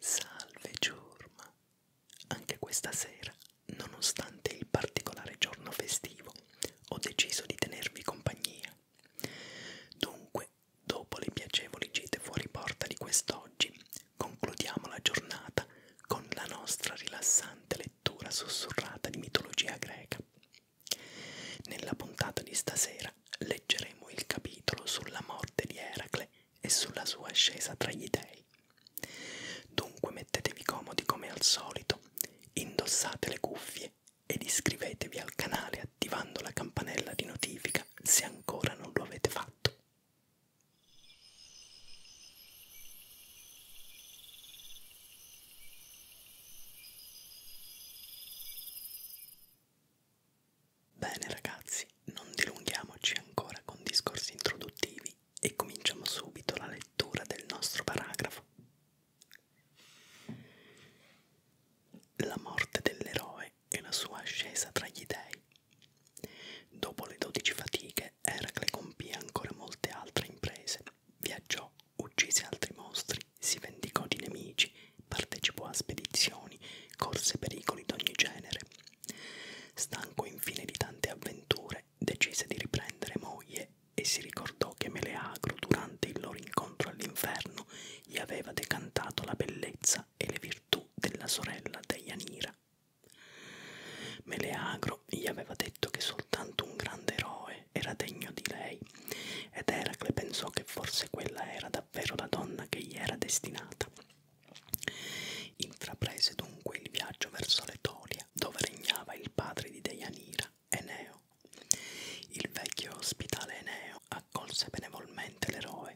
Salve Giorma! Anche questa sera, nonostante il particolare giorno festivo, ho deciso di tenervi compagnia. Dunque, dopo le piacevoli gite fuori porta di quest'oggi, concludiamo la giornata con la nostra rilassante lettura sussurrata di mitologia greca. Nella puntata di stasera sera leggeremo il capitolo sulla morte di Eracle e sulla sua ascesa tra gli dei. Dunque mettetevi comodi come al solito, indossate le cuffie ed iscrivetevi al canale attivando la campanella di notifica se ancora non lo avete fatto. Bene ragazzi, non dilunghiamoci ancora con discorsi introduttivi e cominciamo subito la lettura del nostro paragrafo. La morte dell'eroe e la sua ascesa tra gli dei. Dopo le dodici fatiche, Eracle compì ancora molte altre imprese, viaggiò, uccise altri mostri si vendicò di nemici, partecipò a spedizioni, corse pericoli d'ogni genere. Stanco infine di tante avventure, decise di riprendere moglie e si ricordò che Meleagro, durante il loro incontro all'inferno, gli aveva decantato la bellezza e le virtù della sorella Deianira. Meleagro gli aveva detto che soltanto un grande eroe era degno di lei, ed Eracle pensò che forse quella era davvero la donna che gli era destinata. Intraprese dunque il viaggio verso l'Etolia, dove regnava il padre di Deianira, Eneo. Il vecchio ospitale Eneo accolse benevolmente l'eroe,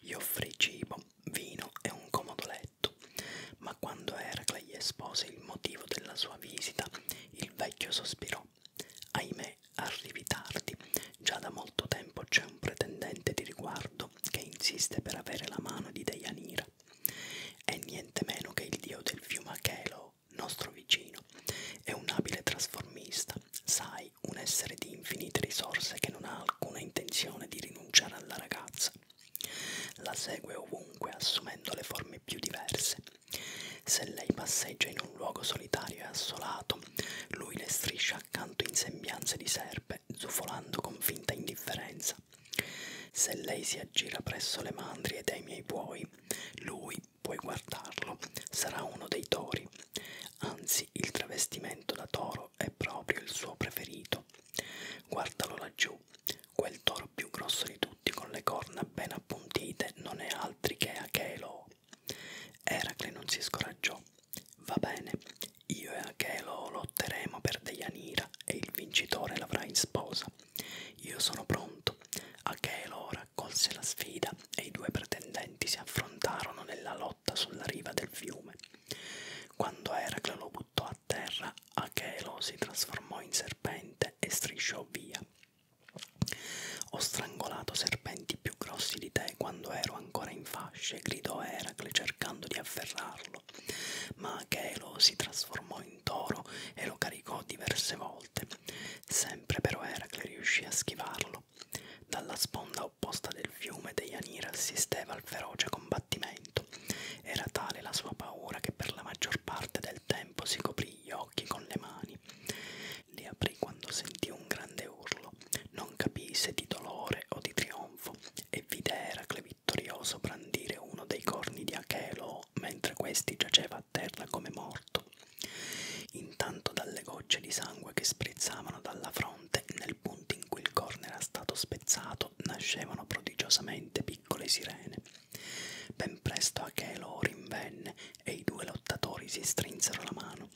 gli offrì cibo, vino e un comodo letto, ma quando Eracle gli espose il motivo della sua visita, il vecchio sospirò Ahimè, arrivi tardi. Già da molto tempo c'è un pretendente di riguardo che insiste per avere la mano di Deianira. È niente meno che il dio del fiume Achelo, nostro vicino. È un abile trasformista, sai, un essere di infinite risorse che non ha alcuna intenzione di rinunciare alla ragazza. La segue ovunque assumendo le forme più diverse, se lei passeggia in un luogo solitario e assolato, lui le striscia accanto in sembianze di serpe, zufolando con finta indifferenza. Se lei si aggira presso le mandrie e dei miei buoi, lui, puoi guardarlo, sarà uno dei tori. Anzi, il travestimento da toro è proprio il suo preferito. Guardalo laggiù, quel toro più grosso di tutti con le corna appena appuntite non è altri che Achelo. Eracle non si scoraggiò. Va bene, io e Achelo lotteremo per Deianira e il vincitore l'avrà in sposa. Io sono pronto. Achelo raccolse la sfida e i due pretendenti si affrontarono nella lotta sulla riva del fiume. Quando Eracle lo buttò a terra, Achelo si trasformò in serpente e strisciò via. Ho strangolato serpenti più grossi di te quando ero ancora in fasce, gridò Eracle cercando di afferrarlo. Ma Achelo si trasformò in toro e lo caricò diverse volte. Sempre però Eracle riuscì a schivarlo. Dalla sponda opposta del fiume Deianira assisteva al feroce combattimento. Era tale la sua paura che per la maggior parte del tempo si coprì occhi con le mani. Li aprì quando sentì un grande urlo, non capì se di dolore o di trionfo, e vide Eracle vittorioso brandire uno dei corni di Achelo mentre questi giaceva a terra come morto. Intanto dalle gocce di sangue che sprizzavano dalla fronte, nel punto in cui il corno era stato spezzato, nascevano prodigiosamente piccole sirene. Ben presto Achelo rinvenne e i due lottatori si strinsero la mano.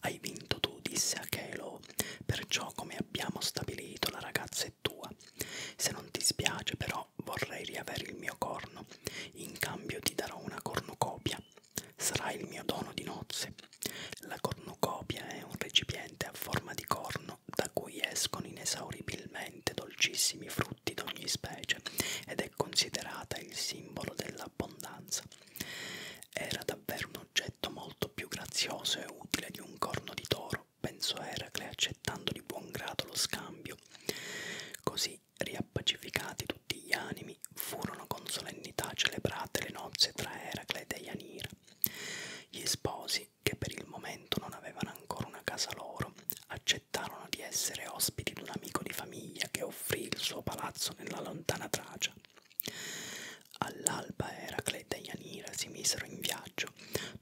Hai vinto tu, disse Achelo, perciò come abbiamo stabilito la ragazza è tua. Se non ti spiace però vorrei riavere il mio corno, in cambio ti darò una cornucopia. Sarà il mio dono di nozze. La cornucopia è un recipiente a forma di corno da cui escono inesauribilmente veramente dolcissimi frutti d'ogni specie ed è considerata il simbolo dell'abbondanza. Era davvero un oggetto molto più grazioso e utile di un corno di toro, pensò Eracle accettando di buon grado lo scambio. Così, riappacificati tutti gli animi, furono con solennità celebrate le nozze tra Eracle e Ianira. Gli sposi, che per il momento non avevano ancora una casa loro, accettarono di essere ospiti d'un amico di famiglia che offrì il suo palazzo nella lontana Tracia. All'alba Eracleta e Ianira si misero in viaggio,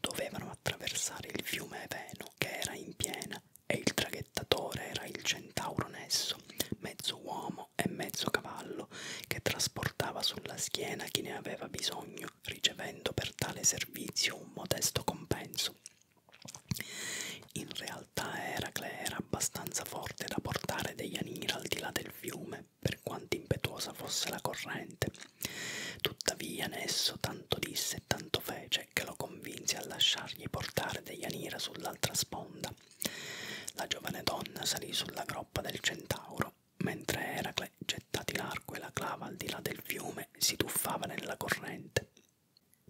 dovevano attraversare il fiume Eveno che era in piena e il traghettatore era il centauro Nesso, mezzo uomo e mezzo cavallo, che trasportava sulla schiena chi ne aveva bisogno ricevendo per tale servizio un modesto compenso. In realtà Eracle era abbastanza forte da portare Deianira al di là del fiume, per quanto impetuosa fosse la corrente. Tuttavia Nesso tanto disse e tanto fece che lo convinse a lasciargli portare Deianira sull'altra sponda. La giovane donna salì sulla groppa del centauro, mentre Eracle ancle gettati l'arco e la clava al di là del fiume si tuffava nella corrente.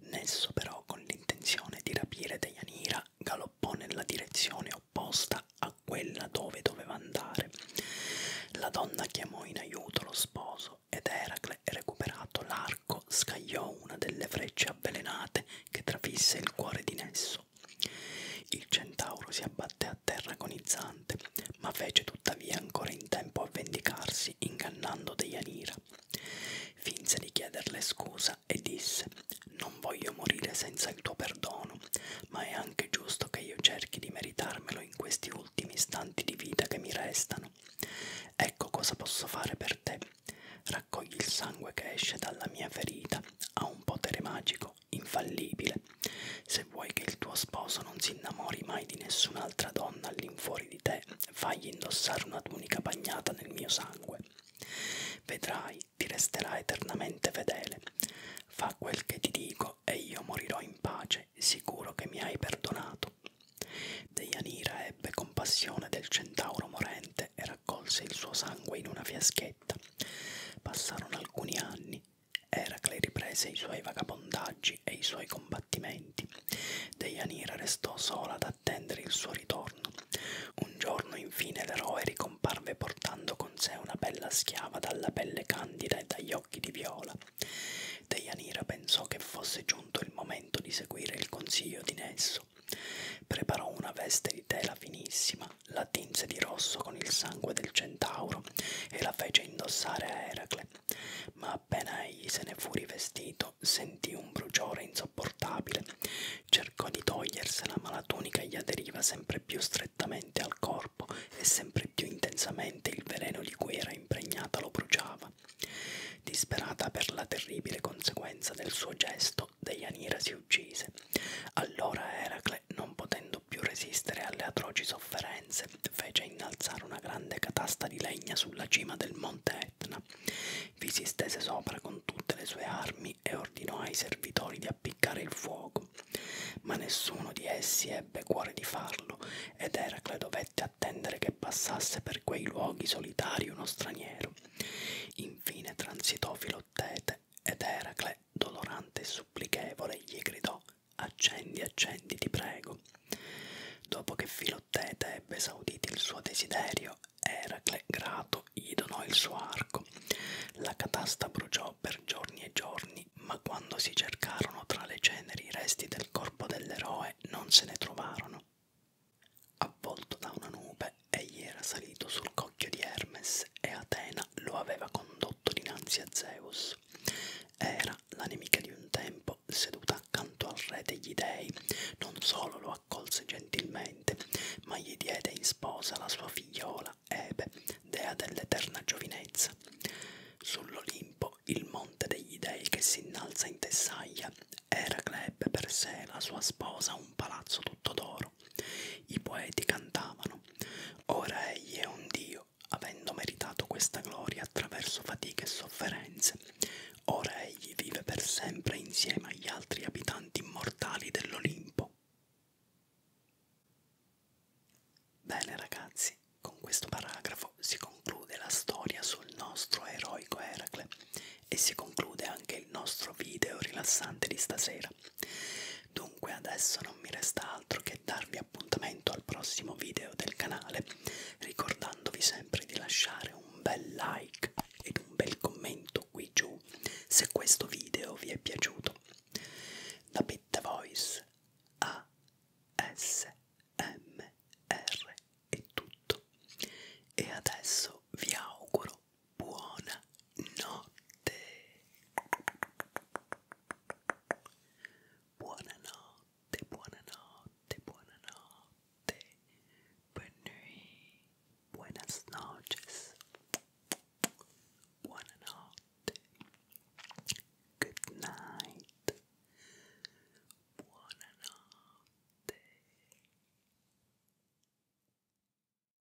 Nesso però con l'intenzione di rapire Deianira galoppò nella direzione opposta a quella dove doveva andare. La donna chiamò in aiuto lo sposo ed Eracle, recuperato l'arco, scagliò una delle frecce avvelenate che trafisse il cuore di Nesso. Il centauro si abbatté a terra agonizzante, ma fece tuttavia ancora in tempo a vendicarsi ingannando Deianira. Finse di chiederle scusa e disse Non voglio morire senza il tuo perdono, ma è anche giusto che io cerchi di meritarmelo in questi ultimi istanti di vita che mi restano. Ecco cosa posso fare per te. Raccogli il sangue che esce dalla mia ferita, ha un potere magico, infallibile, se vuoi che il tuo sposo non si innamori mai di nessun'altra donna all'infuori di te, fagli indossare una tunica bagnata nel mio sangue. Vedrai, ti resterà eternamente fedele. Fa quel che ti dico e io morirò in pace, sicuro che mi hai perdonato. Deianira ebbe compassione del centauro morente e raccolse il suo sangue in una fiaschetta. Passarono alcuni anni Eracle riprese i suoi vagabondaggi e i suoi combattimenti. Deianira restò sola ad attendere il suo ritorno. Un giorno infine l'eroe ricomparve portando con sé una bella schiava dalla pelle candida e dagli occhi di viola. Deianira pensò che fosse giunto il momento di seguire il consiglio di Nesso. Preparò una veste di tela finissima, la tinse di rosso con il sangue del centauro e la fece indossare a Eracle, ma appena egli se ne fu rivestito sentì un bruciore insopportabile, cercò di togliersela ma la tunica gli aderiva sempre più strettamente al corpo e sempre più intensamente il veleno di cui era impregnata lo bruciava. Disperata per la terribile conseguenza del suo gesto, Deianira si uccise. Allora Eracle generale, non potendo più resistere alle atroci sofferenze, fece innalzare una grande catasta di legna sulla cima del monte Etna, vi si stese sopra con tutte le sue armi e ordinò ai servitori di appiccare il fuoco. Ma nessuno di essi ebbe cuore di farlo, ed Eracle dovette attendere che passasse per quei luoghi solitari uno straniero. Infine transitò Filottete, ed Eracle dolorante e supplichevole, gli gridò Accendi, accendi, ti prego. Dopo che Filottete ebbe esaudito il suo desiderio, Eracle, grato, gli donò il suo arco. La catasta bruciò per giorni e giorni, ma quando si cercarono tra le ceneri i resti del corpo dell'eroe non se ne trovarono. Avvolto da una nube, egli era salito sul cocchio di Hermes e Atena mattina lo aveva condotto dinanzi a Zeus. Era la nemica di un tempo, seduta accanto al re degli dei, non solo lo accolse gentilmente, ma gli diede in sposa la sua figliola Ebe, dea dell'eterna giovinezza. Sull'Olimpo, il monte degli dei che si innalza in Tessaglia, Eracle ebbe per sé la sua sposa un palazzo tutto d'oro loro. I poeti cantavano, ora egli è un Dio, avendo meritato questa gloria attraverso fatiche e sofferenze, ora egli vive per sempre insieme agli altri abitanti immortali dell'Olimpo. Bene ragazzi, con questo paragrafo si conclude la storia sul nostro eroico Eracle e si conclude anche il nostro video rilassante di stasera. Dunque adesso non mi resta altro che darvi appuntamento al prossimo video del canale, ricordandovi sempre di lasciare un bel like ed un bel commento qui giù se questo video vi è piaciuto. Da Pitta Voice a SMR è tutto. E adesso vi auguro buona notte. Buona notte, buona notte, buona notte. Buon buenas noches. Buona notte. Good night. Buona notte.